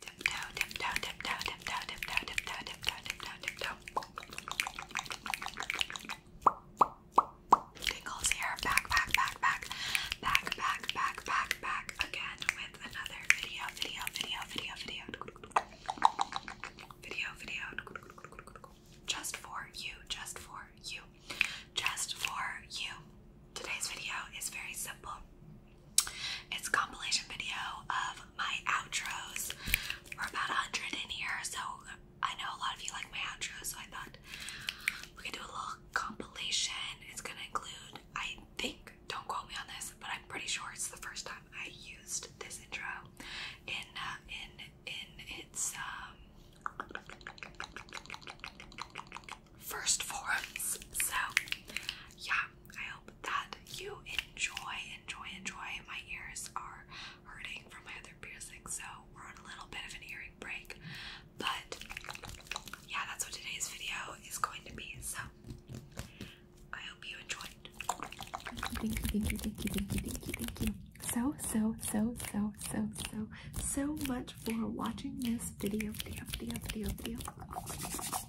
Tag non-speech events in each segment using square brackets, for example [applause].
Tiptoe, tiptoe, tiptoe, tiptoe, tiptoe, tiptoe, tiptoe, tiptoe, tiptoe. Tingles here. Back, back, back, back, back, back, back, back, back. Again with another video, video, video, video, video, video, video. Just for you. Just for you. Just for you. Today's video is very simple. It's a compilation video of my outros. We're about 100 in here, so I know a lot of you like my outros, so I thought we could do a little compilation. It's gonna include, I think, don't quote me on this, but I'm pretty sure it's the first time I used this intro in uh, in in its um, first forms. So yeah, I hope that you enjoy, enjoy, enjoy. My ears are hurting from my other piercing, so we're on a little bit of an earring break. But yeah, that's what today's video is going to be. So I hope you enjoyed. Thank you, thank you, thank you, thank you, thank you, thank you. So, so, so, so, so, so, so much for watching this video, video, video, video, video.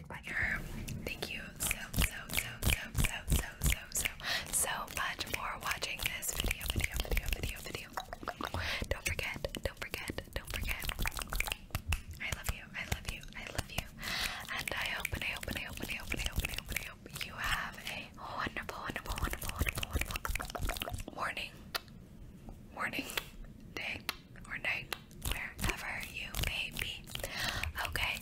Thank you so so so so so so so so so much for watching this video video video video video. Don't forget, don't forget, don't forget. I love you, I love you, I love you. and I hope and I hope and I hope and I hope, and I hope you have a wonderful, wonderful, wonderful, wonderful, wonderful morning. Morning, day, or night, wherever you may be. Okay,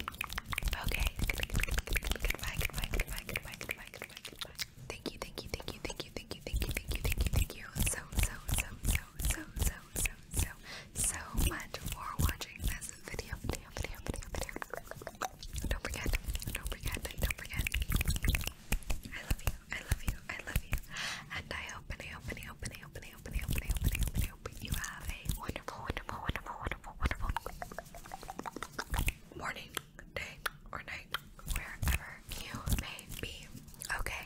okay. Goodbye, goodbye, goodbye, goodbye, goodbye, goodbye, goodbye. Thank you, thank you, thank you, thank you, thank you, thank you, thank you, thank you, thank you, so, so, so, so, so, so, so, so, much for watching this video, video, video, video, video. Don't forget, don't forget, don't forget. I love you, I love you, I love you, and I hope, I hope, I hope, I hope, I hope, I hope, I hope, I hope, you have a wonderful, wonderful, wonderful, wonderful, wonderful morning, day, or night, wherever you may be. Okay?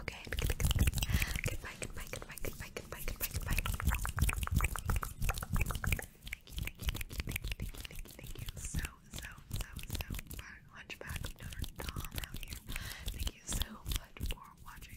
Okay. Goodbye, goodbye, goodbye, goodbye, goodbye, goodbye, goodbye. Thank you, thank you, thank you, thank you, thank you, so, so, so, so much. Hunchback Notre Dame out Thank you so much for watching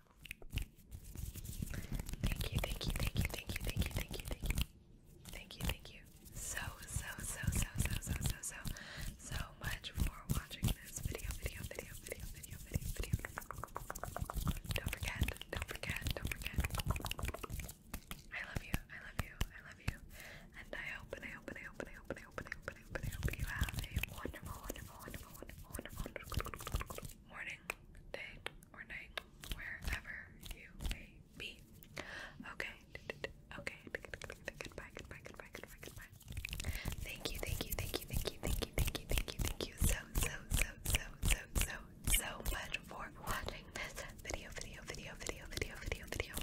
Thank you, thank you, thank you, thank you, thank you, thank you, thank you. Thank you, thank you. So, so, so, so, so, so, so, so, so much for watching this video, video, video, video, video, video, video. Don't forget, don't forget, don't forget. I love you, I love you, I love you. And I hope, and I hope, and I hope, and I hope, and I hope, and I hope, and I hope, you have a wonderful, wonderful, wonderful, wonderful, wonderful morning morning, day, or night, wherever you may be. Okay, okay. Goodbye, goodbye, goodbye, goodbye, goodbye. Thank you, thank you, thank you, thank you, thank you, thank you, thank you, thank you so, so, so, so, so, so, so much for watching this video, video, video, video, video, video, video.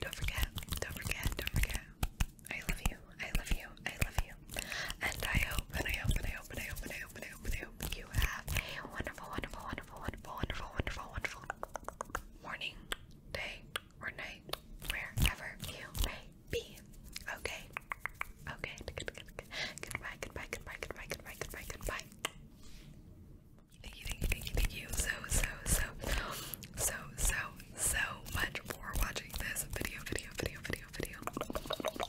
Don't forget, don't forget, don't forget. I love you. I love you. I love you. And I hope and I hope and I hope and I hope and I hope and I hope and I hope you have a wonderful, wonderful, wonderful, wonderful, wonderful, wonderful, wonderful morning, day, or night, wherever you may be. Okay. Okay. Goodbye, goodbye, goodbye, goodbye, goodbye, goodbye, goodbye. Thank you, thank you, thank you, thank you so, so, so, so, so, so much for watching this video, video, video, video, video.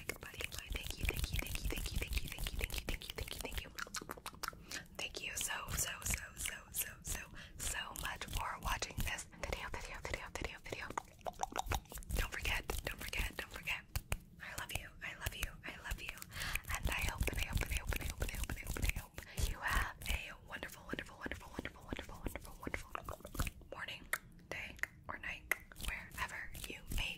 like, buddy boy. Thank you, thank you, thank you, thank you, thank you, thank you, thank you, thank you, thank you, thank you. Thank you so, so, so, so, so, so, so much for watching this video, video, video, video, video. Don't forget, don't forget, don't forget. I love you, I love you, I love you. And I hope, and I hope, and I hope, and I hope, and I hope, and I hope, and I hope you have a wonderful, wonderful, wonderful, wonderful, wonderful, wonderful, wonderful morning, day, or night, wherever you may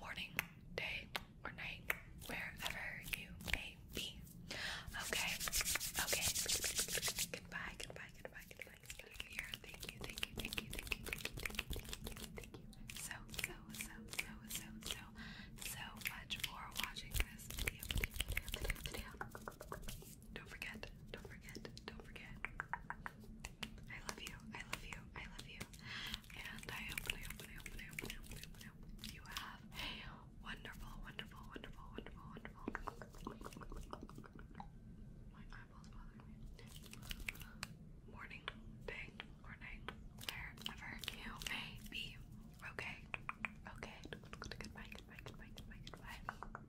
morning, day, or night, wherever you may be. Okay, okay. Goodbye, goodbye, goodbye, goodbye. Thank you, thank you, thank you, thank you, thank you, thank you, thank you, So, so, so, so, so, so, so much for watching this video. Don't forget, don't forget, don't forget. I love you. I love you. I love you. And I hope, I hope, I hope, I hope, I hope, I hope, you have a wonderful, wonderful, wonderful, wonderful, wonderful. Morning, day, or night, wherever you may Okay. Okay. Goodbye. Goodbye. Goodbye. Goodbye. Goodbye.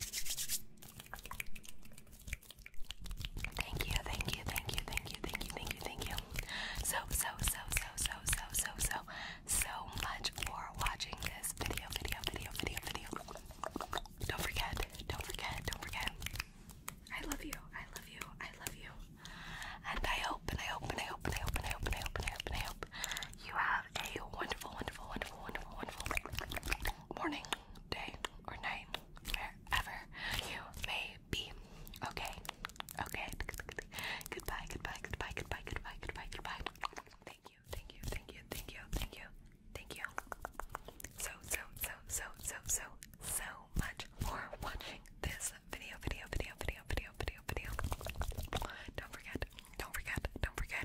Thank you, thank you, thank you, thank you, thank you, thank you, thank you. So, so, so, so, so, so, so, so, so much for watching this video, video, video, video, video. Don't forget, don't forget, don't forget. I love you, I love you, I love you. And I hope, and I hope, and I hope, and I hope, and I hope, and I hope, and I hope, you have have a wonderful, wonderful, wonderful, wonderful, wonderful morning, day, or night, wherever you may be. Okay, okay. Goodbye, goodbye, goodbye, goodbye, goodbye, goodbye, goodbye. Thank you, thank you, thank you, thank you, thank you, thank you. So, so, so, so, so, so, so much for watching this video, video, video, video, video, video, video. Don't forget, don't forget, don't forget.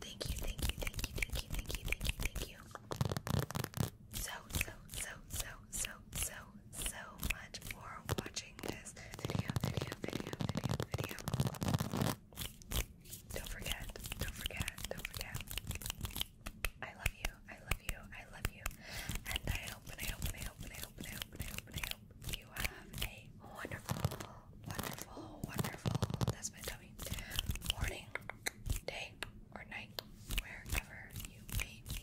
Thank you, thank you, thank you, thank you, thank you, thank you, thank you. So, so, so, so, so, so, so much for watching this video, video, video, video, video. Don't forget, don't forget, don't forget. I love you, I love you, I love you. And I hope, and I hope, and I hope, and I hope, and I hope, and I hope, you have a wonderful, wonderful, wonderful. That's my dog. Morning, day, or night, wherever you may be.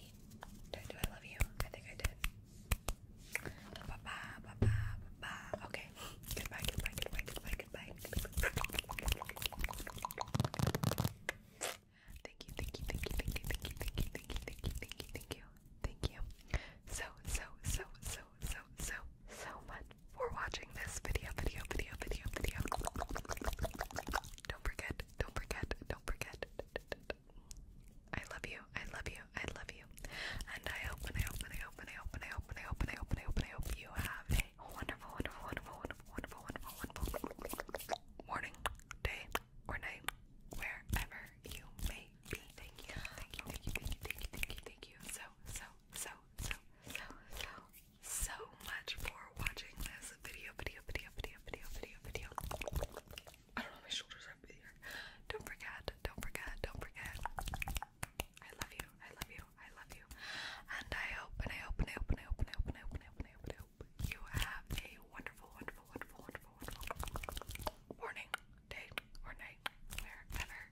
do I love you? I think I did. Okay. Goodbye goodbye goodbye goodbye goodbye. Thank you thank you thank you thank you thank you thank you thank you thank you thank you thank you thank you so so so so so so so much for watching this video, video, video, video, video. Don't forget, don't forget, don't forget. I love you, I love you, I love you. And I hope and I hope and I hope and I hope and I hope and I hope and I hope and I hope and I hope you have a wonderful, wonderful, wonderful, wonderful, wonderful, wonderful morning, day, or night, wherever you may be. Thank you, thank you, thank you, thank you, thank you, thank you, thank you. So, so, so, so, so, so so much for watching this video, video, video, video, video, video, video. I don't know, my shoulders are up here. Don't forget, don't forget, don't forget. I love you, I love you, I love you. And I hope, and I hope, and I hope, and I hope, and I hope, and I hope, and I hope, and I hope, and I hope you have a wonderful, wonderful, wonderful, wonderful, wonderful morning, day, or night, wherever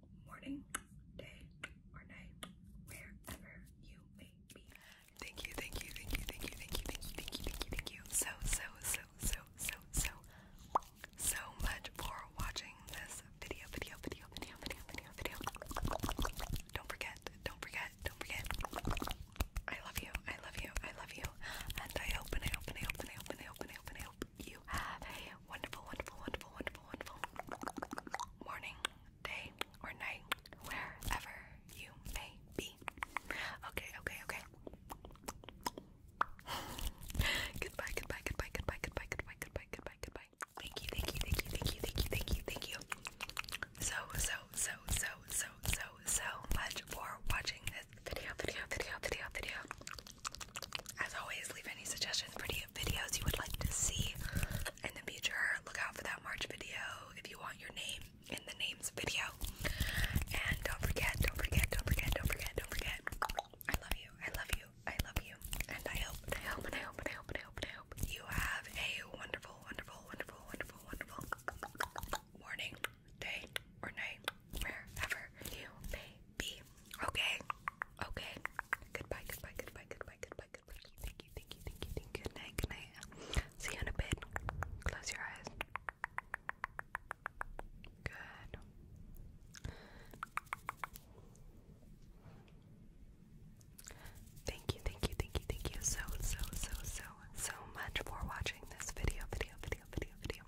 morning, day, or night, wherever you may be. Thank you, thank you, thank you, thank you, thank you, thank you, thank you, thank you, thank you. So, so, so, so, so, so, so much for watching this video, video, video, video, video, video, video. Don't forget, don't forget, don't forget. I love you, I love you, I love you. And I hope I hope I hope I hope I hope I hope I hope hope you have a wonderful, wonderful, wonderful, wonderful, wonderful morning, day, or night, wherever you may be. Okay, okay, okay. goodbye, goodbye, goodbye, goodbye, goodbye, goodbye, goodbye, goodbye, goodbye. Thank you, thank you, thank you, thank you, thank you, thank you, thank you. So, so, so, so, so, so, so much for watching this video, video, video, video, video. As always, leave any suggestions for any videos you would like to see in the future. Look out for that March video if you want your name in the names video. And don't forget, don't forget, don't forget, don't forget, don't forget. I love you. I love you. I love you. And I hope, and I hope, and I hope, and I hope, and I hope, and I hope you have a wonderful, wonderful, wonderful, wonderful, wonderful morning, day, or night, wherever you may be. Okay? Okay. Goodbye, goodbye, goodbye, goodbye, goodbye, goodbye. Thank you, thank you, thank you, thank you. Good night, good night. See you in a bit. Close your eyes. Good. Thank you, thank you, thank you, thank you so, so, so, so, so much for watching this video, video, video, video, video.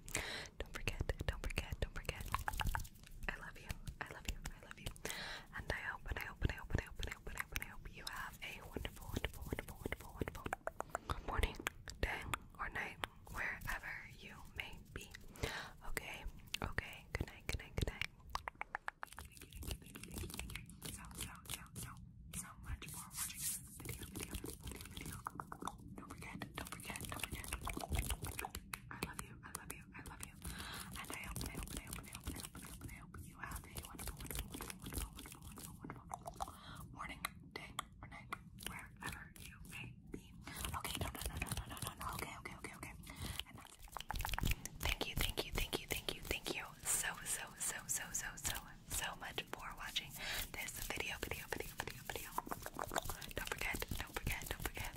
Don't forget, don't forget, don't forget. I love you. I love you. I love you. And I hope and I hope and I hope and I hope and I hope and I hope, and I hope you have a wonderful, wonderful, wonderful, wonderful, wonderful morning, day, or night, wherever you may be. Okay, okay, good night, good night, good night. Thank you, thank you, thank you, thank you, thank you. So, so, so, so, so much for watching this video, video, video, video. Don't forget, don't forget, don't forget. I love you. I love you. I love you. And I hope, I hope, I hope, I hope, I hope, I hope, I hope you have a wonderful, wonderful, wonderful, wonderful, wonderful, wonderful morning, day, or night, wherever you may be. Okay, no, no, no, no, no, no, no, no. Okay, okay, okay, okay. And that's it. Thank you, thank you, thank you, thank you, thank you so, so, so, so, so, so, so much for watching this video, video, video, video, video. Don't forget, don't forget, don't forget.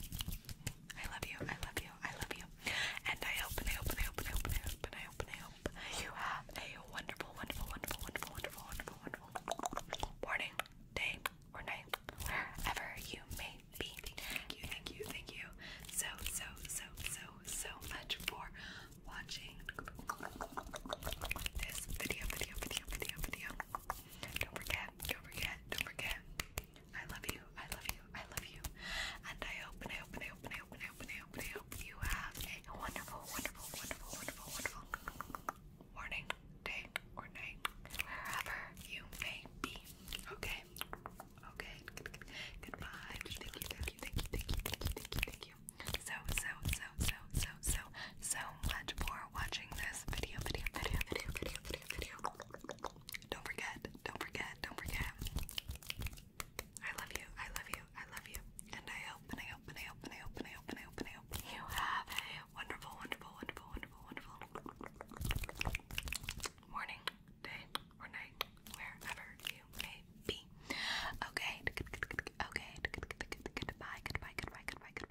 I love you, I love you, I love you. And I hope, and I hope, and I hope, and I hope, and I hope, and I hope, and I hope you have a wonderful, wonderful, wonderful, wonderful, wonderful, wonderful, wonderful morning, day, or night, wherever you may be. Thank you, thank you, thank you so, so, so, so, so much for watching this video, video, video, video, video. Don't forget, don't forget, don't forget. I love you, I love you, I love you. And I hope and I hope and I hope and I hope and I hope and I hope, and I hope you have a wonderful, wonderful, wonderful, wonderful, wonderful morning, day, or night. Wherever you may be. Okay. Okay. Goodbye. Thank you, thank you, thank you, thank you, thank you, thank you, thank you. So, so, so, so, so, so, so much for watching this video, video, video, video, video, video, video. Don't forget, don't forget, don't forget. I love you, I love you, I love you. And I hope, and I hope, and I hope, and I hope, and I hope, and I hope, and I hope you have a wonderful, wonderful, wonderful, wonderful, wonderful morning, day, or night, wherever you may be. Okay, okay, goodbye, goodbye, goodbye, goodbye, goodbye,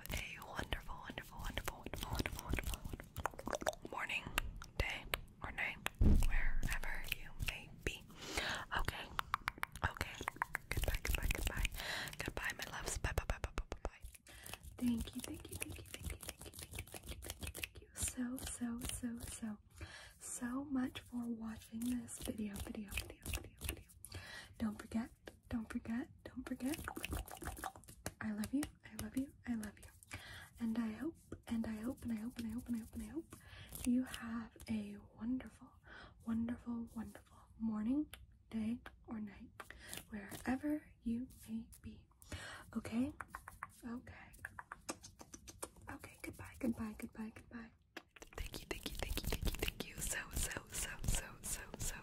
have a wonderful, wonderful, wonderful, wonderful, wonderful, wonderful, wonderful morning, day, or night, wherever you may be. Okay, okay. Goodbye, goodbye, goodbye, goodbye, my loves. Bye, bye, bye, bye, bye, bye. bye. Thank you, thank you, thank you, thank you, thank you, thank you, thank you, thank you, thank you, so, so, so, so, so much for watching this video, video, video, video, video. Don't forget, don't forget, don't forget. I love you. I love you. I love you. And I hope, and I hope, and I hope, and I hope, and I hope, and I hope you have a wonderful, wonderful, wonderful morning, day, or night, wherever you may be. Okay? Okay. Okay, goodbye, goodbye, goodbye, goodbye. Thank you, thank you, thank you, thank you, thank you so, so, so, so, so, so,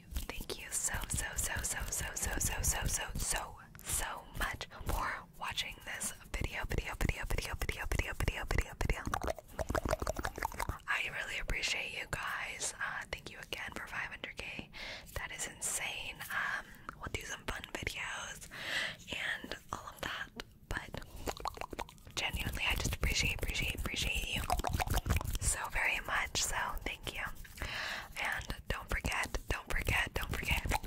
you, thank you so so so so so so so so so so so much for watching this video video video video video video video video video. I really appreciate you guys. Uh, thank you again for 500k. That is insane. Um, we'll do some fun videos and all of that. But genuinely, I just appreciate, appreciate, appreciate you so very much. So thank you. And don't forget, don't forget, don't forget. I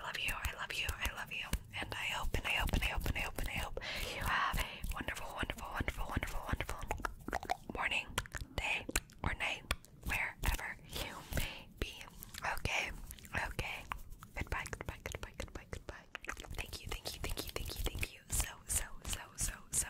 love you, I love you, I love you. And I hope, and I hope, and I hope, and I hope, and I hope you have a wonderful, wonderful, wonderful, wonderful, wonderful morning, day, or night, wherever you may be. Okay, okay. Goodbye, goodbye, goodbye, goodbye, goodbye. Thank you, thank you, thank you, thank you, thank you. So, so, so, so, so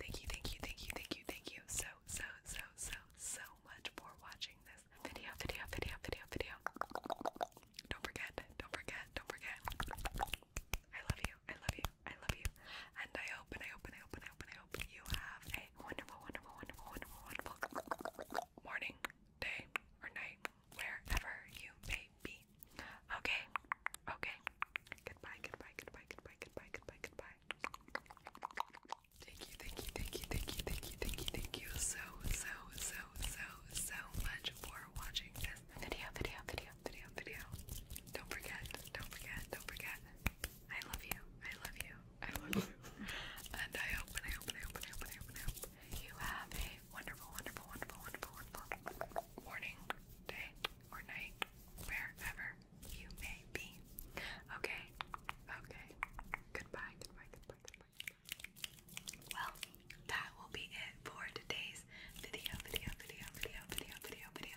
Thank you, thank you, thank you, thank you, thank you so, so, so, so, so much for watching this video, video, video, video, video. Don't forget, don't forget, don't forget. I love you, I love you, I love you. And I hope, and I hope, and I hope, and I hope, and I hope you have a wonderful, wonderful, wonderful, wonderful, wonderful morning, day, or night, wherever you may be. Okay. Okay. Goodbye, goodbye, goodbye, goodbye, goodbye, goodbye, goodbye. Thank you, thank you, thank you, thank you, thank you, thank you, thank you so, so, so, so, so much for watching this video, video, video, video, video. Don't forget, don't forget, don't forget. I love you. I love you. I love you. [laughs] and I hope and I hope and I hope and I hope and I hope and I hope you have a wonderful, wonderful, wonderful, wonderful, wonderful morning, day, or night, wherever you may be. Okay, okay. Goodbye, goodbye, goodbye, goodbye. Well, that will be it for today's video, video, video, video, video, video, video.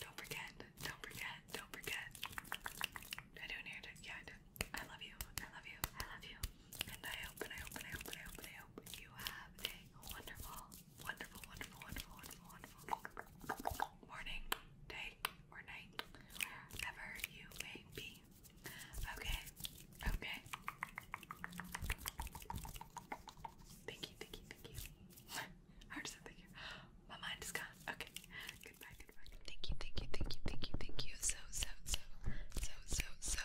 Don't forget, don't forget, don't forget. I don't hear it. Yeah, I do. I love you. I love you. I love you. And I hope and I hope and I hope and I hope and I hope you have a wonderful wonderful, wonderful, wonderful, wonderful, wonderful morning, day, or night, wherever you may be. Okay, okay. Thank you, thank you, thank you. Hard to say thank you. My mind is gone. Okay. Goodbye, goodbye. Thank you, thank you, thank you, thank you, thank you. So, so, so, so, so, so,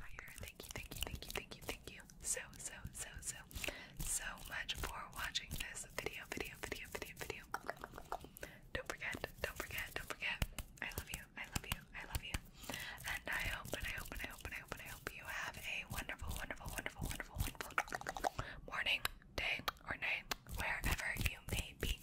on fire. Thank you, thank you, thank you, thank you, thank you so, so, so, so, so much for watching this video, video, video, video, video. Don't forget, don't forget, don't forget. I love you, I love you, I love you. And I hope, and I hope, and I hope, and I hope, and I hope you have a wonderful, wonderful, wonderful, wonderful, wonderful morning, day, or night, wherever you may be.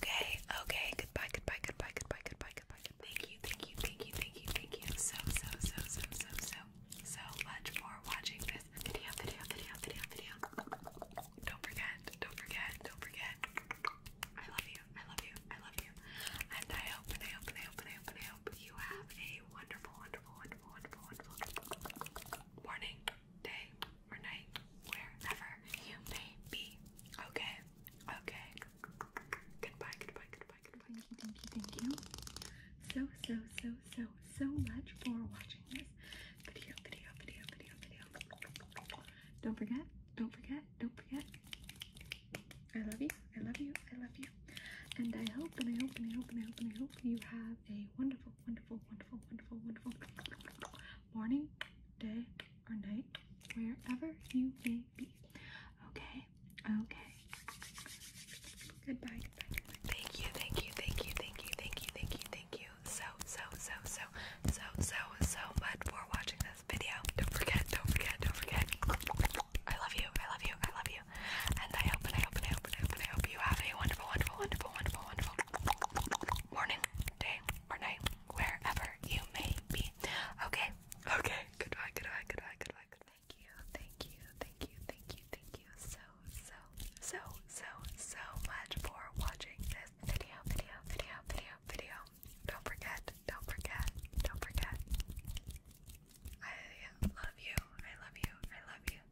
Okay, okay, goodbye, goodbye, goodbye, goodbye, goodbye, goodbye, Thank you, thank you, thank you, thank you, thank you so, so, so, so, so, so, so much for watching this video, video, video, video, video. Don't forget, don't forget, don't forget. I love you, I love you, I love you. And I hope, I hope, I hope, I hope, I hope you have a wonderful, wonderful, wonderful, wonderful, wonderful morning, day, or night, wherever you may be. Okay, okay. Goodbye, goodbye, goodbye, goodbye. Thank you, thank you, thank you. So, so, so, so, so much for watching this video, video, video, video, video. Don't forget, don't forget, don't forget. I love you, I love you, I love you. And I hope and I hope and I hope and I hope and I hope you have a wonderful, wonderful, wonderful, wonderful, wonderful morning, day, or night, wherever you may baby. Okay, okay. Goodbye, goodbye, goodbye. Thank you, thank you, thank you, thank you, thank you, thank you, thank you so, so, so, so, so, so, so much for watching this video. Don't forget, don't forget, don't forget. I love you, I love you, I love you. And I hope, and I hope, and I hope, and I hope, and I hope you have a wonderful, wonderful, wonderful, wonderful, wonderful morning, day, or night, wherever you may be. Okay, Okay, goodbye, goodbye, goodbye, goodbye, Thank you, thank you, thank you, thank you, thank you so, so, so, so, so much for watching this video, video, video, video, video. Don't forget, don't forget, don't forget. I love you, I love you, I love you.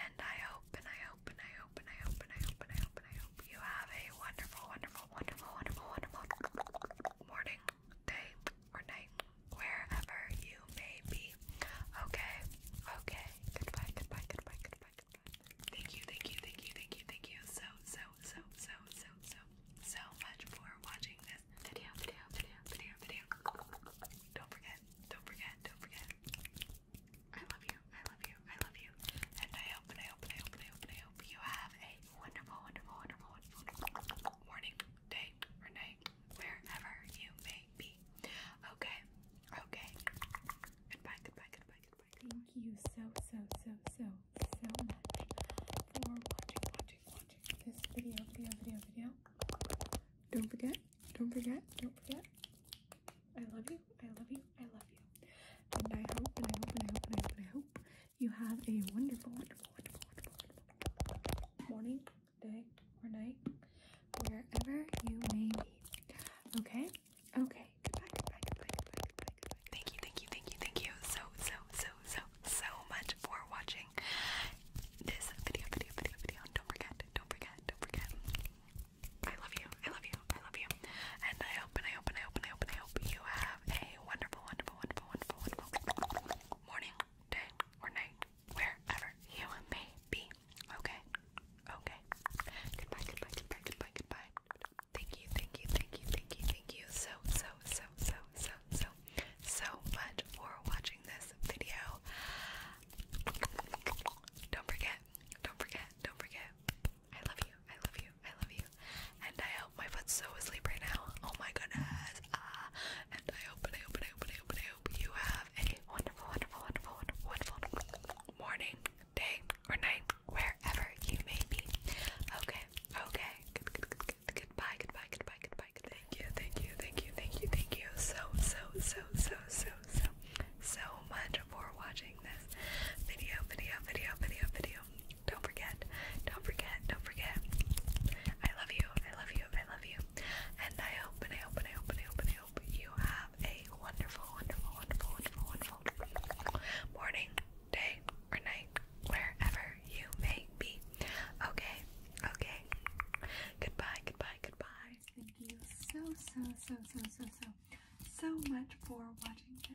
and I hope, and I hope, and I hope, and I hope, and I hope, and I hope you have a wonderful, wonderful, wonderful, wonderful, wonderful morning, day, or night, wherever you may be. Okay, okay. Goodbye, goodbye, goodbye, goodbye, goodbye. Thank you, thank you, thank you, thank you, thank you so, so, so, so, so, so, so much for watching this video, video, video, video, video. Don't forget, don't forget, don't forget. I love you, I love you, I love you. And I hope, and I hope, and I hope, and I hope, and I hope you have a wonderful, wonderful, wonderful, wonderful morning, day, or night, wherever you may be. Okay, okay. Goodbye, goodbye, goodbye, goodbye. Thank you so, so, so, so, so much for watching, watching, watching this video, video, video, video. Don't forget, don't forget, don't forget. I love you, I love you, I love you. And I hope, and I hope, and I hope, and I hope, and I hope you have a wonderful, wonderful, wonderful, wonderful morning, day, or night, wherever you may be. Okay? Okay. Goodbye, goodbye, goodbye, goodbye, goodbye, goodbye. Thank you, thank you, thank you, thank you so, so, so, so, so much for watching this video, video, video, video. Don't forget, don't forget, don't forget. I love you, I love you, I love you. And I hope, and I hope, and I hope, and I hope, and I hope you have a wonderful, wonderful, wonderful, wonderful, wonderful, wonderful morning, day, or night, wherever you may be. Okay? Okay. Goodbye, goodbye, goodbye, goodbye, goodbye. Thank you, thank you, thank you, thank you, thank you so, so, so, so, so, so, so much for watching this video. Don't forget, don't forget, don't forget. I love you. I love you. I love you. And I hope my foot's so asleep right now. Oh my goodness. Ah. And I hope, and I hope, and I hope, and I hope, and I hope you have a wonderful, wonderful, wonderful, wonderful, wonderful morning, day, or night, wherever you may be. Okay. Okay. Good, good, good, good. Goodbye. Goodbye. Goodbye. Goodbye. Good. Thank you. Thank you. Thank you. Thank you. Thank you. So, so, so, so, so, so, so much for watching this video, video, video, video, video. Don't forget. Don't forget. Don't forget. I love you. I love you. I love you. And I hope and I hope and I hope and I hope and I hope you have a wonderful, wonderful, wonderful, wonderful, wonderful morning, day, or night, wherever you may be. Okay. Okay. Goodbye. Goodbye. Goodbye. Thank you so so so so so so so much for watching this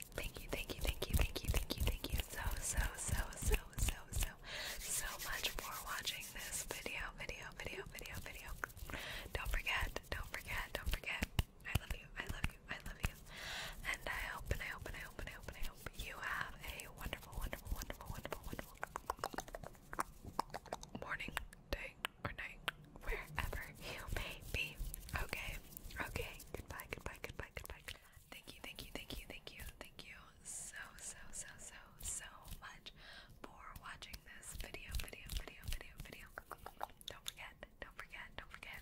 Thank you, thank you, thank you, thank you, thank you, thank you so, so, so, so, so, so, so much for watching this video, video, video, video, video. Don't forget, don't forget, don't forget. I love you, I love you, I love you. And I hope, and I hope, and I hope, and I hope, and I hope you have a wonderful, wonderful, wonderful, wonderful, wonderful morning, day, or night, wherever you may be. Okay, okay, goodbye, goodbye, goodbye, goodbye, goodbye. Thank you, thank you, thank you, thank you, thank you so, so, so, so, so much for watching this video, video, video, video, video. Don't forget, don't forget, don't forget.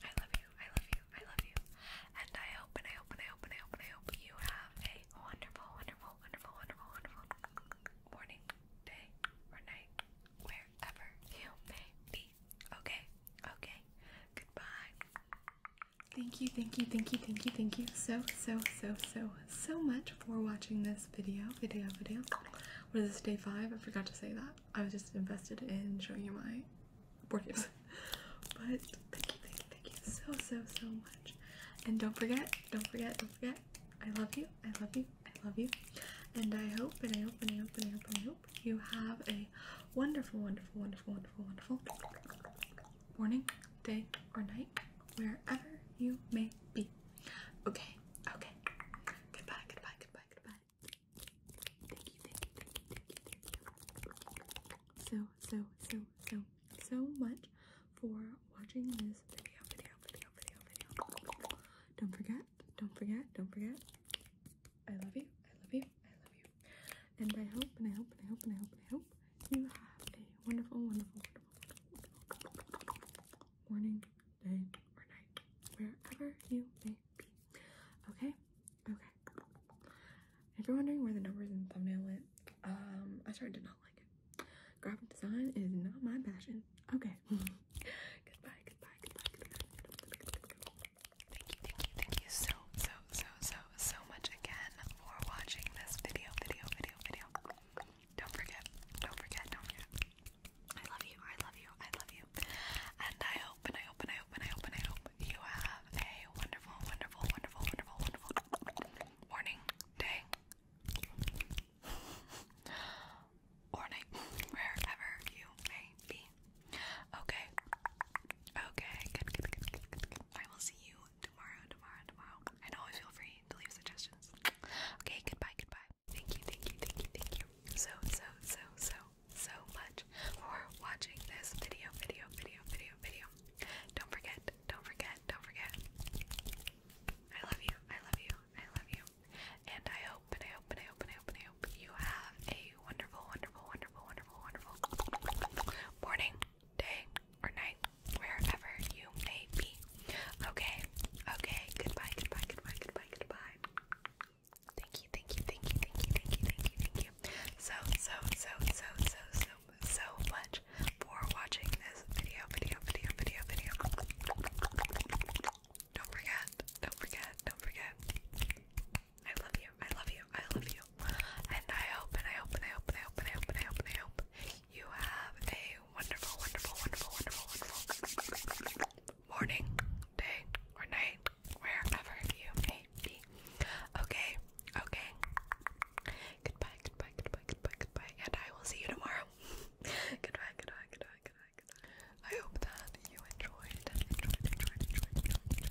I love you, I love you, I love you. And I hope, and I hope, and I hope, and I hope, and I hope you have a wonderful, wonderful, wonderful, wonderful, wonderful morning, day, or night, wherever you may be. Okay, okay. Goodbye. Thank you, thank you, thank you, thank you, thank you so, so, so, so, so much for watching this video, video, video. What is this, day five? I forgot to say that. I was just invested in showing you my board games. [laughs] But thank you, thank you, thank you so, so, so much. And don't forget, don't forget, don't forget, I love you, I love you, I love you. and I hope, and I hope, and I hope, and I hope, hope you have a wonderful, wonderful, wonderful, wonderful, wonderful morning, day, or night, wherever you may be. Okay, okay. Goodbye, goodbye, goodbye, goodbye. Thank you, thank you, thank you, thank you, so, so, so, so, so much for watching this video, video, video, video, video. Don't forget, don't forget, don't forget. I love you. I love you. I love you. And I hope and I hope and I hope and I hope and I hope you have a wonderful, wonderful, wonderful, wonderful morning, day, or night, wherever you may be. Okay? Okay. If you're wondering where the numbers and thumbnail went, um, I started to not like it. Graphic design is not my passion. Okay. [laughs] goodbye, goodbye, goodbye, goodbye. Thank you, thank you, thank you so, so, so, so, so much again for watching this video, video, video, video. Don't forget, don't forget, don't forget. I love you, I love you, I love you. And I hope, and I hope, and I hope, and I hope, and I hope you have a wonderful, wonderful, wonderful, wonderful, wonderful morning, day, [laughs] or night, wherever you may be. Okay. Okay. Good, good, good, I will see you tomorrow, tomorrow, tomorrow. And always feel free to leave suggestions. Okay. Goodbye. Goodbye. Thank you. Thank you. Thank you. Thank you. So, so, so, so, so much for watching this video, video, video, video, video. Don't forget. Don't forget. Don't forget. I love you. I love you. I love you. and I hope, and I hope, and I hope, and I hope you have a wonderful, wonderful, wonderful, wonderful, wonderful morning, day, or night, wherever you may be. Okay, okay, goodbye, goodbye, goodbye, goodbye, goodbye. Thank you, thank you, thank you, thank you, thank you, thank you, thank you. So, so, so, so, so, so, so much for watching this video, video, video, video, video. Don't forget, don't forget, don't forget. I love you. I love you. I love you. And I hope and I hope and I hope and I hope and I hope and I hope and I hope you have a wonderful, wonderful, wonderful, wonderful, wonderful morning, day, or night, wherever you may be. Okay, okay. Goodbye, goodbye, goodbye, goodbye, goodbye. And I will see you tomorrow. [laughs] goodbye, goodbye, goodbye, goodbye, goodbye. I hope that you enjoyed, enjoyed, enjoyed, enjoyed, enjoyed,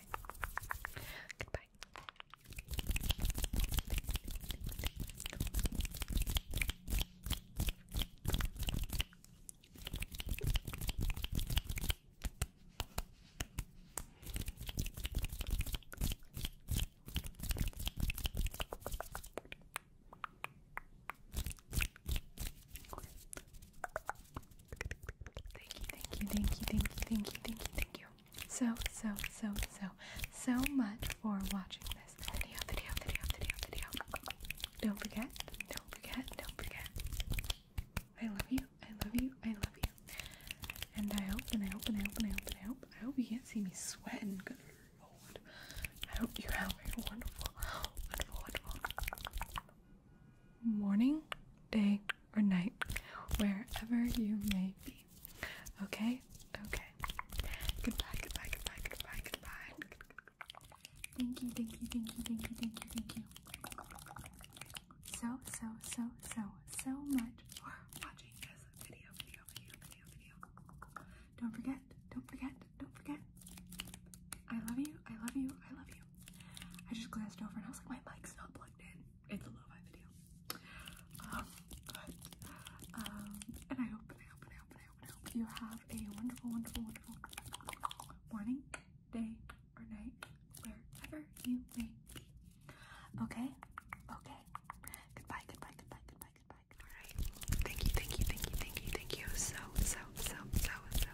Goodbye. Goodbye. Thank you, thank you, thank you, thank you, thank you, thank you, thank you. So, so, so, so, so much for watching this video, video, video, video, video. Don't forget, don't forget, don't forget. I love you, I love you, I love you. And I hope, and I hope, and I hope, and I hope, and I hope, I hope you can't see me sweating. Good lord. I hope you have a wonderful, wonderful, wonderful, morning, day, or night, wherever you may be. Okay? Okay. Goodbye, goodbye, goodbye, goodbye, goodbye. Thank you, thank you, thank you, thank you, thank you, thank you. So, so, so, so, so much for watching this video, video, video, video, video. Don't forget, don't forget, don't forget. I love you, I love you, I love you, I just glanced over and I was like, my mic's not plugged in. It's a lo-fi video. Um, um, and I hope, and I hope, and I hope, and I hope, and I hope you have a wonderful, wonderful, wonderful morning, day, or night, wherever you may be. Okay? Okay. Goodbye, goodbye, goodbye, goodbye, goodbye. Alright. Thank you, thank you, thank you, thank you, thank you so, so, so, so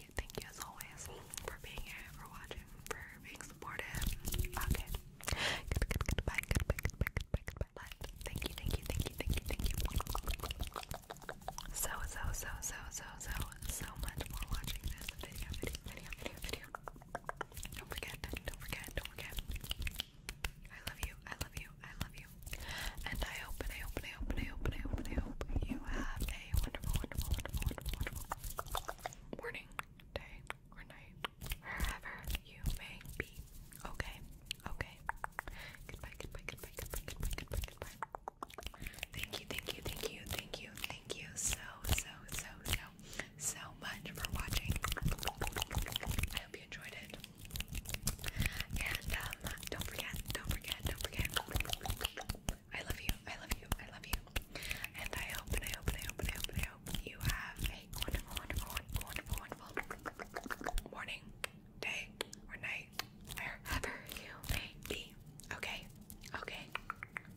thank you, as always for being here, for watching, for being supportive. Okay. Good, goodbye, goodbye, goodbye, goodbye, goodbye. thank you, thank you, thank you, thank you, thank you. So, so, so, so, so, so, so much for watching this video, video, video, video, Don't forget, don't forget, don't forget. I love you, I love you, I love you. and I hope, and I hope, and I hope, and I hope, and I hope you have wonderful, wonderful, wonderful, wonderful, wonderful morning, day, or night, wherever you may be. Okay, okay. Goodbye, goodbye, goodbye, goodbye, goodbye, goodbye, goodbye. Thank you, thank you, thank you, thank you, thank you so, so, so, so, so much for watching. I hope you enjoyed it. And um, don't forget, don't forget, don't forget. I love you. I love you. I love you. And I hope and I hope and I hope and I hope and I hope you have a wonderful, wonderful, wonderful, wonderful morning, day, or night, wherever you may be. Okay. Okay.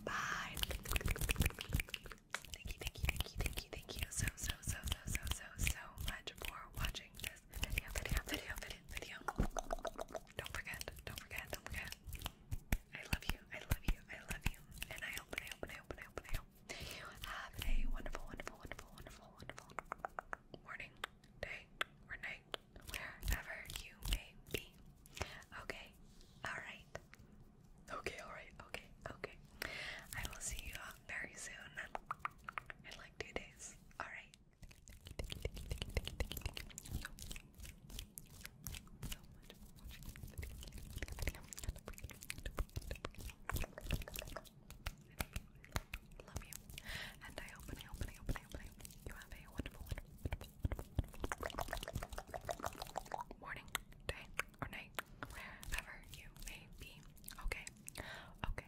Bye. Thank you, thank you, thank you, thank you, thank you so, so, so, so, so, so, so much for watching this video, video, video, video, video. Don't forget, don't forget, don't forget. I love you. I love you. I love you. And I hope, and I hope, and I hope, and I hope, and I hope you have a wonderful, wonderful, wonderful, wonderful, wonderful morning, day, or night, wherever you may be. Okay. All right. Okay. All right. Okay. Okay. I will see you all very soon. In like two days. All right. Thank you. Thank you. Thank you. Thank you. Thank you. Thank you so Love you. And I hope I hope I hope I hope, you have a wonderful, wonderful morning, day, or night, wherever you may be. Okay. Okay.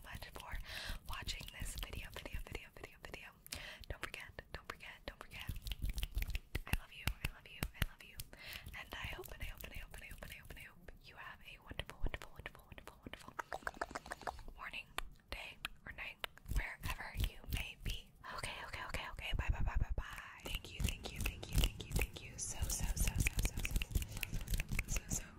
much for watching this video, video, video, video, video. Don't forget, don't forget, don't forget. I love you, I love you, I love you. and I hope and I hope and I hope and I hope, and I hope you have a wonderful, wonderful, wonderful, wonderful, wonderful morning, day, or night, wherever you may be. Okay, okay, okay, okay. Bye bye bye bye bye. Thank you, thank you, thank you, thank you, thank you. So so so so so so so so so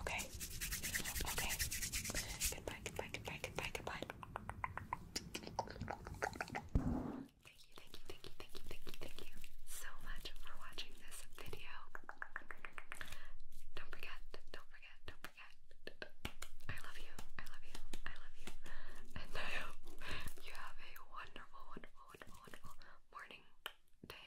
Okay. Okay. Goodbye, goodbye, goodbye, goodbye, goodbye. Thank you, thank you, thank you, thank you, thank you, thank you so much for watching this video. Don't forget, don't forget, don't forget. I love you, I love you, I love you. And I hope you have a wonderful, wonderful, wonderful, wonderful morning, day,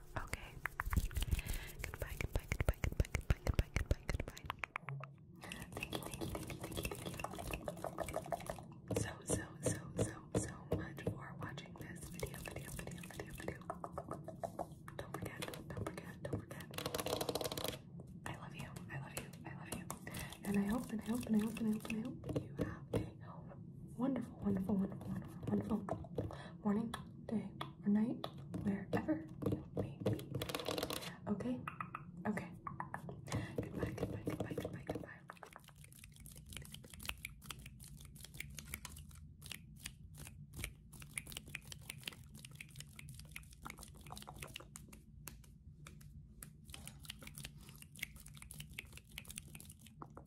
Okay. Goodbye, goodbye, goodbye, goodbye, goodbye, goodbye, goodbye, goodbye. Thank you, thank you, thank you, thank you, thank you. So, so, so, so, so much for watching this video, video, video, video, video. Don't forget, don't forget, don't forget. I love you, I love you, I love you. And I hope and I hope and I hope and I hope and I hope you have a wonderful, wonderful, wonderful, wonderful, wonderful morning day, or night, wherever you may be. Okay? Okay. Goodbye, goodbye, goodbye, goodbye, goodbye.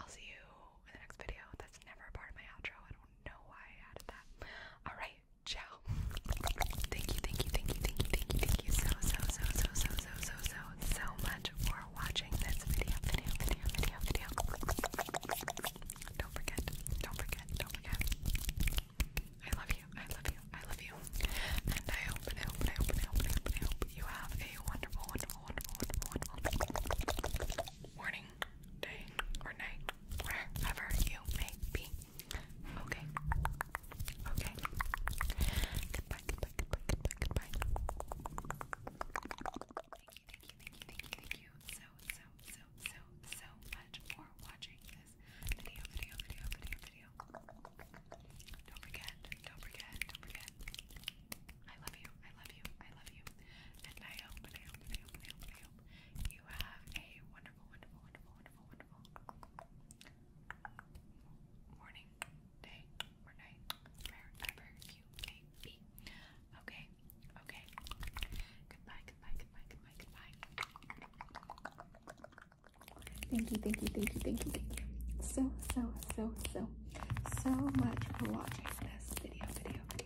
I'll see you in the next video. That's never part of my outro. I don't know why I added that. Alright, ciao. Thank you, thank you, thank you, thank you, thank you, thank you so, so, so, so, so, so, so, so, so much for watching this video, video, video, video, video. Don't forget, don't forget, don't forget. I love you, I love you, I love you. And I hope, I hope, I hope, I hope, I hope you have a wonderful, wonderful, wonderful, wonderful, wonderful morning, day, or night, wherever you may be. Okay. Okay. Goodbye, goodbye, goodbye, Thank you, thank you, thank you, thank you, thank you so, so, so, so, so much for watching video, video, video, video, video. Don't forget, don't forget, don't forget. I love you, I love you, I love you, and I hope, and I hope, and I hope, and I hope, and I hope you have a wonderful, wonderful, wonderful, wonderful, wonderful morning, day, or night, wherever you may be. Okay, okay. Goodbye, goodbye, goodbye, goodbye, goodbye. Thank you, thank you, thank you, thank you, thank you. So, so, so, so, so much for watching this video, video, video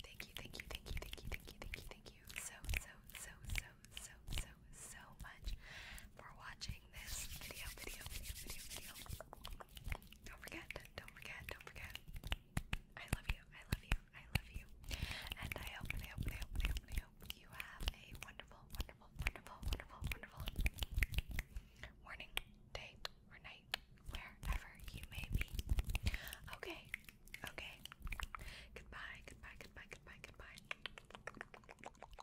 Thank you, thank you, thank you, thank you, thank you, thank you, thank you so, so, so, so, so, so, so much for watching this video, video, video, video, video. Don't forget, don't forget, don't forget. I love you, I love you, I love you. And I hope, I hope, I hope, I hope, I hope you have a wonderful, wonderful, wonderful, wonderful, wonderful morning, day, or night, wherever you may be. Okay, Okay. Goodbye, goodbye, goodbye, goodbye, goodbye.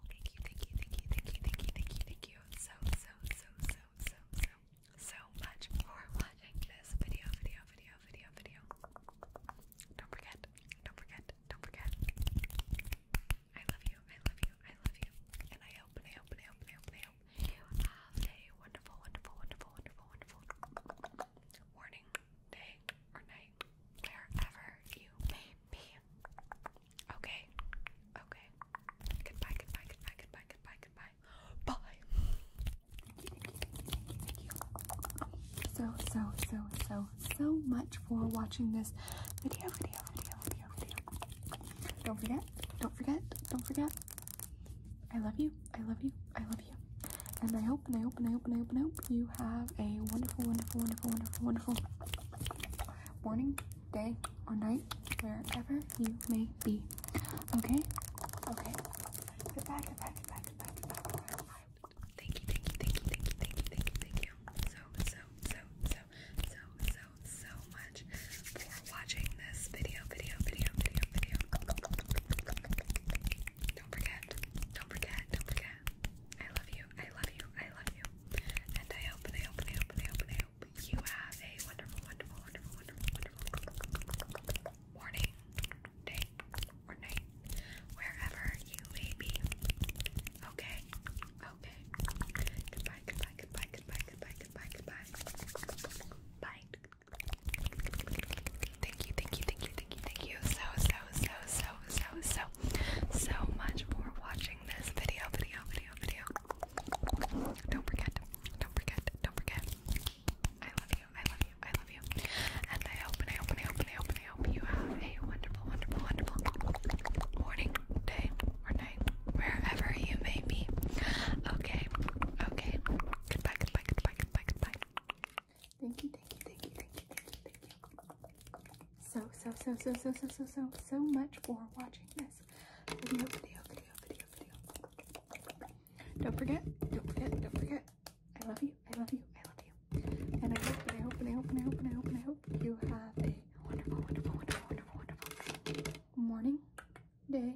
Thank you, thank you, thank you, thank you, thank you, thank you, thank you. So, so, so, so, so, so, so much for watching this video, video, video, video, video. Don't forget, don't forget, don't forget. I love you, I love you, I love you. And I hope, and I hope, I hope, I hope, I hope have a wonderful, wonderful, wonderful, wonderful, wonderful morning, day, or night, wherever you may be. Okay, okay. Goodbye, goodbye, goodbye, goodbye, goodbye, goodbye. Bye. Thank you. So, so, so, so, so much for watching this video, video, video, video, video. Don't forget, don't forget, don't forget. I love you. I love you. I love you. And I hope and I hope and I hope and I hope and I hope you have a wonderful, wonderful, wonderful, wonderful, wonderful morning, day, or night, wherever you may be. Okay? Okay. Goodbye, goodbye, goodbye, goodbye, goodbye, goodbye. thank you, thank you, thank you, thank you, thank you, thank you. So, so, so, so, so, so, so much for watching this video, video, video, video. Don't forget, don't forget, don't forget. I love you, I love you, I love you. And I hope, I hope, I hope, I hope, I hope you have a wonderful, wonderful, wonderful, wonderful, wonderful morning, day, or night, wherever you may be. Okay, okay. goodbye, goodbye, goodbye, goodbye, goodbye, goodbye. Bye. Thank you, thank you, thank you, thank you, thank you so, so, so, so, so, so, so much for watching this video, video, video, video. Don't forget, don't forget, don't forget. I love you, I love you, I love you. And I hope, and I hope, and I hope, and I hope, and I hope you have a wonderful, wonderful, wonderful morning, day, or night, wherever you may be. Okay, okay. Goodbye, goodbye, goodbye, goodbye, goodbye. Thank you, thank you, thank you, thank you, thank you, thank you. So, so, so, so, so, so, so, so, so much for watching this video, video, video, video, video. Don't forget, don't forget, don't forget. I love you, I love you, I love you. And I hope, and I hope, and I hope, and I hope, and I hope, and I hope you have a wonderful, wonderful, wonderful, wonderful, wonderful morning, day,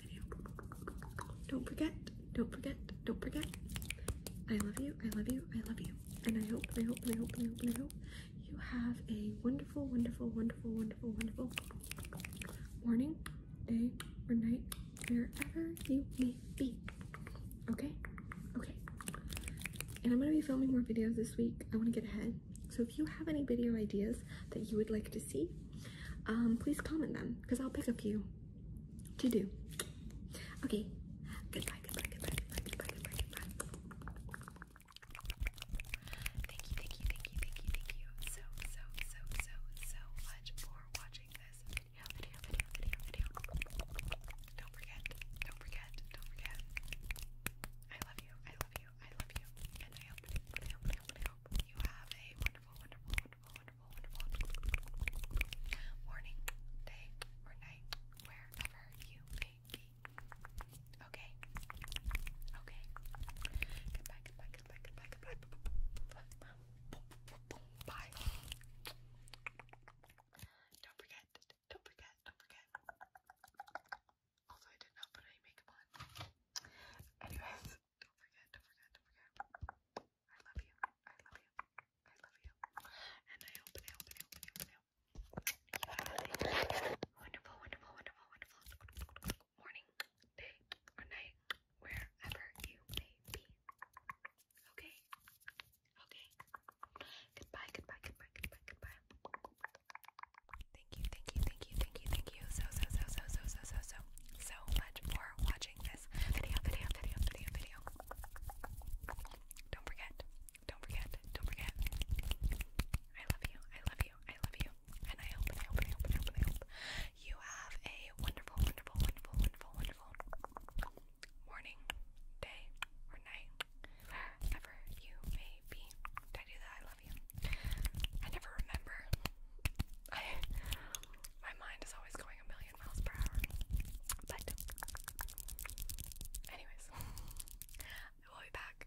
don't forget, don't forget, don't forget. I love you, I love you, I love you. And I hope, I hope, I hope, I hope, I hope you have a wonderful, wonderful, wonderful, wonderful, wonderful morning, day, or night, wherever you may be. Okay? Okay. And I'm going to be filming more videos this week. I want to get ahead. So if you have any video ideas that you would like to see, um, please comment them because I'll pick a few to do. Okay, goodbye, goodbye, goodbye, goodbye, goodbye, goodbye, goodbye. Thank you, thank you, thank you, thank you, thank you so, so, so, so, so much for watching this video, video, video, video, video. Don't forget, don't forget, don't forget. I love you, I love you, I love you, and I hope, I hope, I hope, I hope you have a wonderful, wonderful, wonderful, morning, day, or night, wherever you may be. Okay? Okay. Goodbye, goodbye, goodbye, goodbye, goodbye. Bye. Don't forget, don't forget, don't forget. Also, I did not put any makeup on. Don't forget, don't forget, don't forget. I love you. I love you. I love you. And I hope, and I hope, and I hope, and I hope, Wonderful, wonderful, wonderful, wonderful morning, day, or night, wherever you may be. Okay? Okay. Goodbye, goodbye, goodbye, goodbye, goodbye. Thank you, thank you, thank you, thank you, thank you so, so, so, so, so, so, so, so, so much for watching guys. Video, video, video, video, video. Don't forget. Don't forget. Don't forget. I love you. I love you. I love you. And I hope, and I hope, and I hope, and I hope, and I hope you have a wonderful, wonderful, wonderful, wonderful, wonderful morning, day, or night, wherever you may be. Did I do that? I love you. I never remember. I my mind is always going a million miles per hour. But, anyways, I will be back.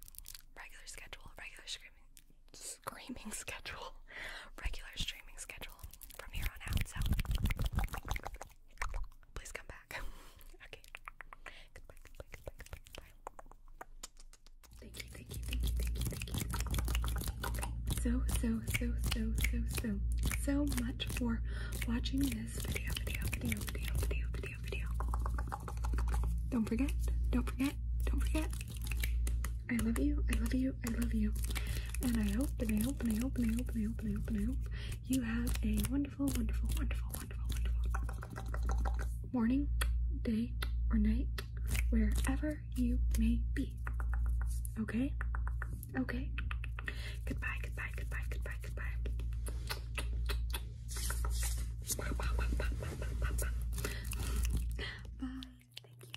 Regular schedule, regular screaming, screaming schedule, [laughs] regular streaming schedule from here on out. please come back. [laughs] okay. Goodbye, goodbye, goodbye, goodbye. Thank you thank you, thank you, thank you, thank you. So, so, so, so, so, so, so much for watching this video, video, video, video, video, video, video. Don't forget, don't forget, don't forget. I love you, I love you, I love you. And I hope, and I hope, and I hope, and I hope, and I hope, and I hope, and I hope you have a wonderful, wonderful, wonderful, wonderful, wonderful morning, day, or night wherever you may be. Okay? Okay? Goodbye, goodbye, goodbye, goodbye, goodbye. Bye. Thank you,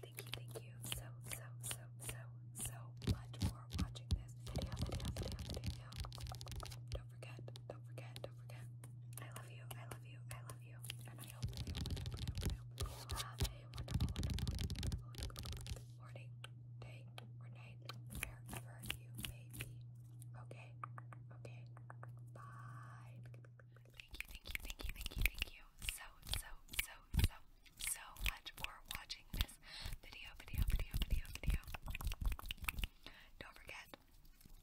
thank you, thank you so, so, so, so, so much for watching this video, video, video, video. Don't forget, don't forget, don't forget. I love you, I love you, I love you. And I hope, I hope, I hope, morning, day, or night, wherever you may be. Okay, okay, bye. Thank you, thank you, thank you, thank you, thank you so, so, so, so, so much for watching this video, video, video, video, video. Don't forget,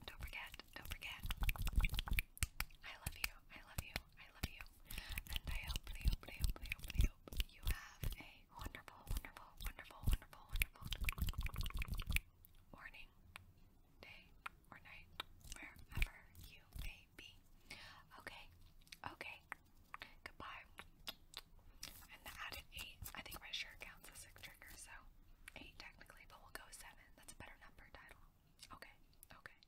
don't forget, don't forget. I love you, I love you, I love you, and I hopefully, hopefully, hopefully, hopefully, hope you have a wonderful, wonderful, wonderful, wonderful, wonderful morning, day, or night, wherever you may be. Okay, okay. Goodbye. And that added eight. I think my shirt counts as a trigger, so eight technically, but we'll go seven. That's a better number, title. Okay, okay.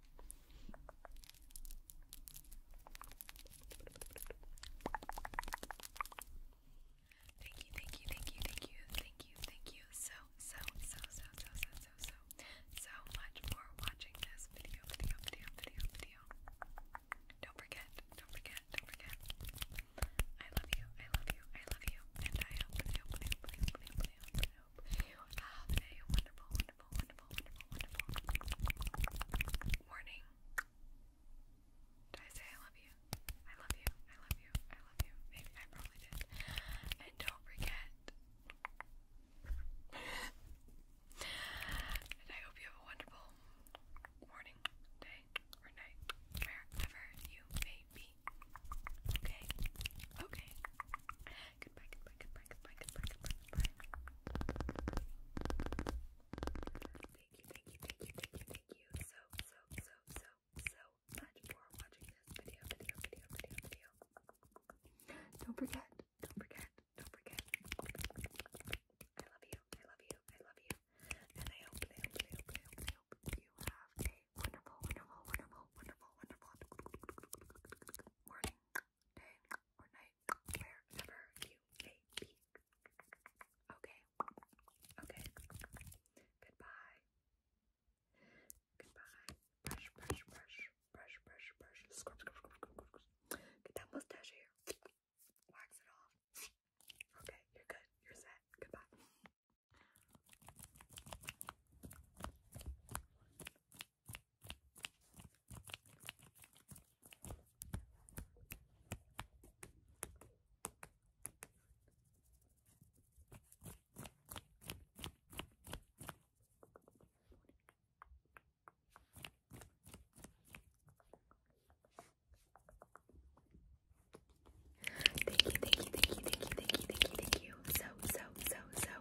Thank you, thank you, thank you, thank you, thank you, thank you so, so, so, so, so, so, so, so, much for watching this video, video, video, video, Don't forget, don't forget, don't forget. I love you, I love you, I love you, and I hope, I hope, I hope, I hope, I hope, I hope you have a wonderful, wonderful, wonderful, wonderful, wonderful morning. Did I say I love you? I love you. I love you. I love you. Maybe I probably did. And don't forget. and I hope you have a wonderful morning, day, or night, wherever you may be. Okay. Okay. Goodbye, goodbye, goodbye, goodbye, goodbye, goodbye, goodbye. Thank you, thank you, thank you, thank you, thank you so, so, so, so, so much for watching this video, video, video, video, video. Don't forget, don't forget, don't forget. I love you, I love you, I love you. And I hope, I hope, I hope, I hope, I hope you have a wonderful, wonderful, wonderful, wonderful, wonderful morning, day, night, wherever you may Okay, okay. Goodbye. Goodbye. Brush, brush, brush, brush, brush, brush. scrub, scrub, scrub, scrub, scrub. Get that mustache here. Wax it off. Okay, you're good. You're set. Goodbye. Thank you, thank you, thank you, thank you, thank you, thank you, thank you so, so, so, so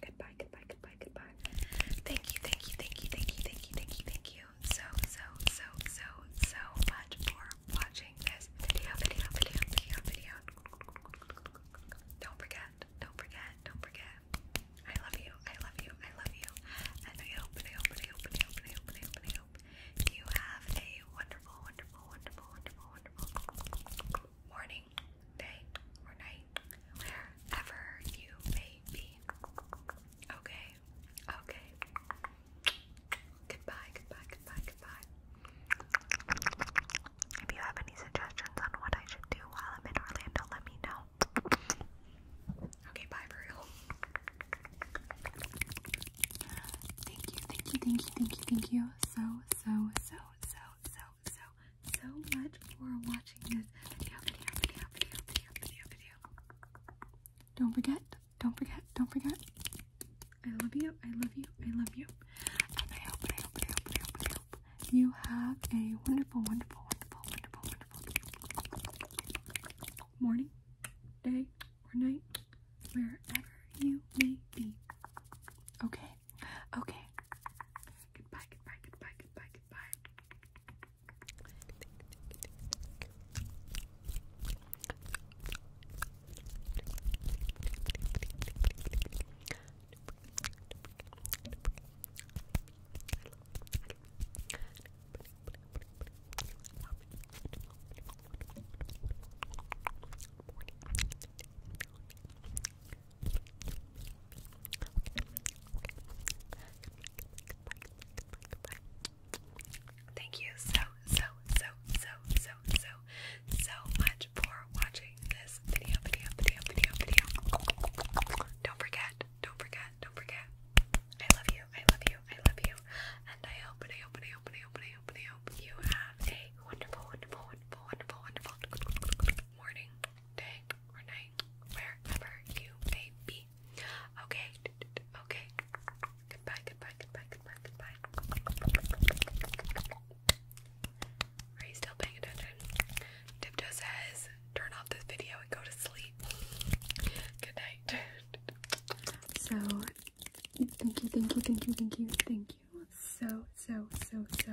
Goodbye, goodbye, goodbye, goodbye. Thank you, thank you, thank you, thank you, thank you, thank you, thank you so, so, so, so, so much for watching this video, video, video, video, video. Don't forget, don't forget, don't forget. I love you, I love you, I love you. And I hope, and I hope, and I hope, and I hope, and I hope, and I hope, and I hope you have a wonderful, wonderful, wonderful, wonderful, wonderful morning, morning, day, or night, wherever you may be. Okay, okay. Goodbye, goodbye, goodbye, goodbye. If you have any suggestions on what I should do while I'm in Orlando, let me know. Okay, bye for real. Thank you, thank you, thank you, thank you, thank you so, so, so, so, so, so much for watching this video, video, video, video, video, video, Don't forget, don't forget, don't forget. I love you, I love you, I love you. I hope, I hope, I hope, I hope, I hope you have a wonderful, wonderful, wonderful, wonderful, wonderful morning, day, or night, wherever you may be. Okay? Okay. Goodbye, goodbye, goodbye, goodbye, goodbye. Thank you so, so, so, so, so, so, so much for watching this video, video, video, video, video. Don't forget, don't forget, don't forget. I love you, I love you, I love you. And I hope, and I hope, and I hope, and I hope, and I hope, you have a wonderful, wonderful, wonderful, wonderful, wonderful morning, day, or night, wherever you may be. Okay, okay. Goodbye, goodbye, goodbye, goodbye, goodbye. Are you still paying attention? Tipto says, turn off this video and go to sleep. Good night. So, thank you, thank you, thank you, thank you, thank you so, so, so, so,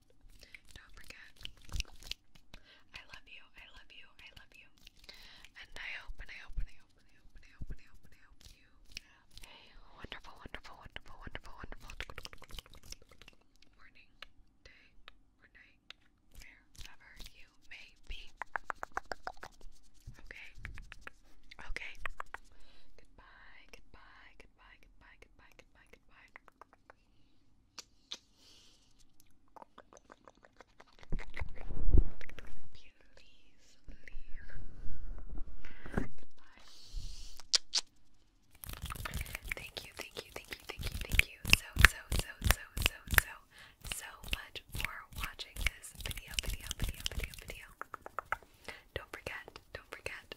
Don't forget. I love you. I love you. I love you. And I hope and I hope and I hope and I hope and I hope and I hope and I hope you have wonderful, wonderful, wonderful, wonderful, wonderful morning, day, or wherever you may be. Okay. Okay. Goodbye. Goodbye. Goodbye. Goodbye. Goodbye. Goodbye. Thank you, thank you, thank you, thank you, thank you so, so, so, so, so, so, so much for watching this video, video, video, video, video. Don't forget, don't forget,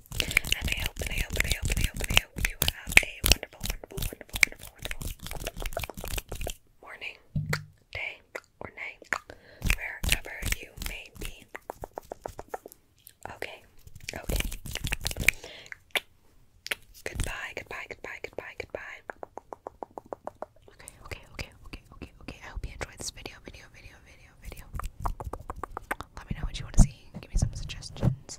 And I hope, and I hope, and I hope, and I hope, and I hope you have a wonderful, wonderful, wonderful, wonderful, wonderful morning, day, or night, wherever you may be. Okay, okay. Goodbye, goodbye, goodbye, goodbye, goodbye. Okay, okay, okay, okay, okay, okay. I hope you enjoyed this video, video, video, video, video. Let me know what you want to see. Give me some suggestions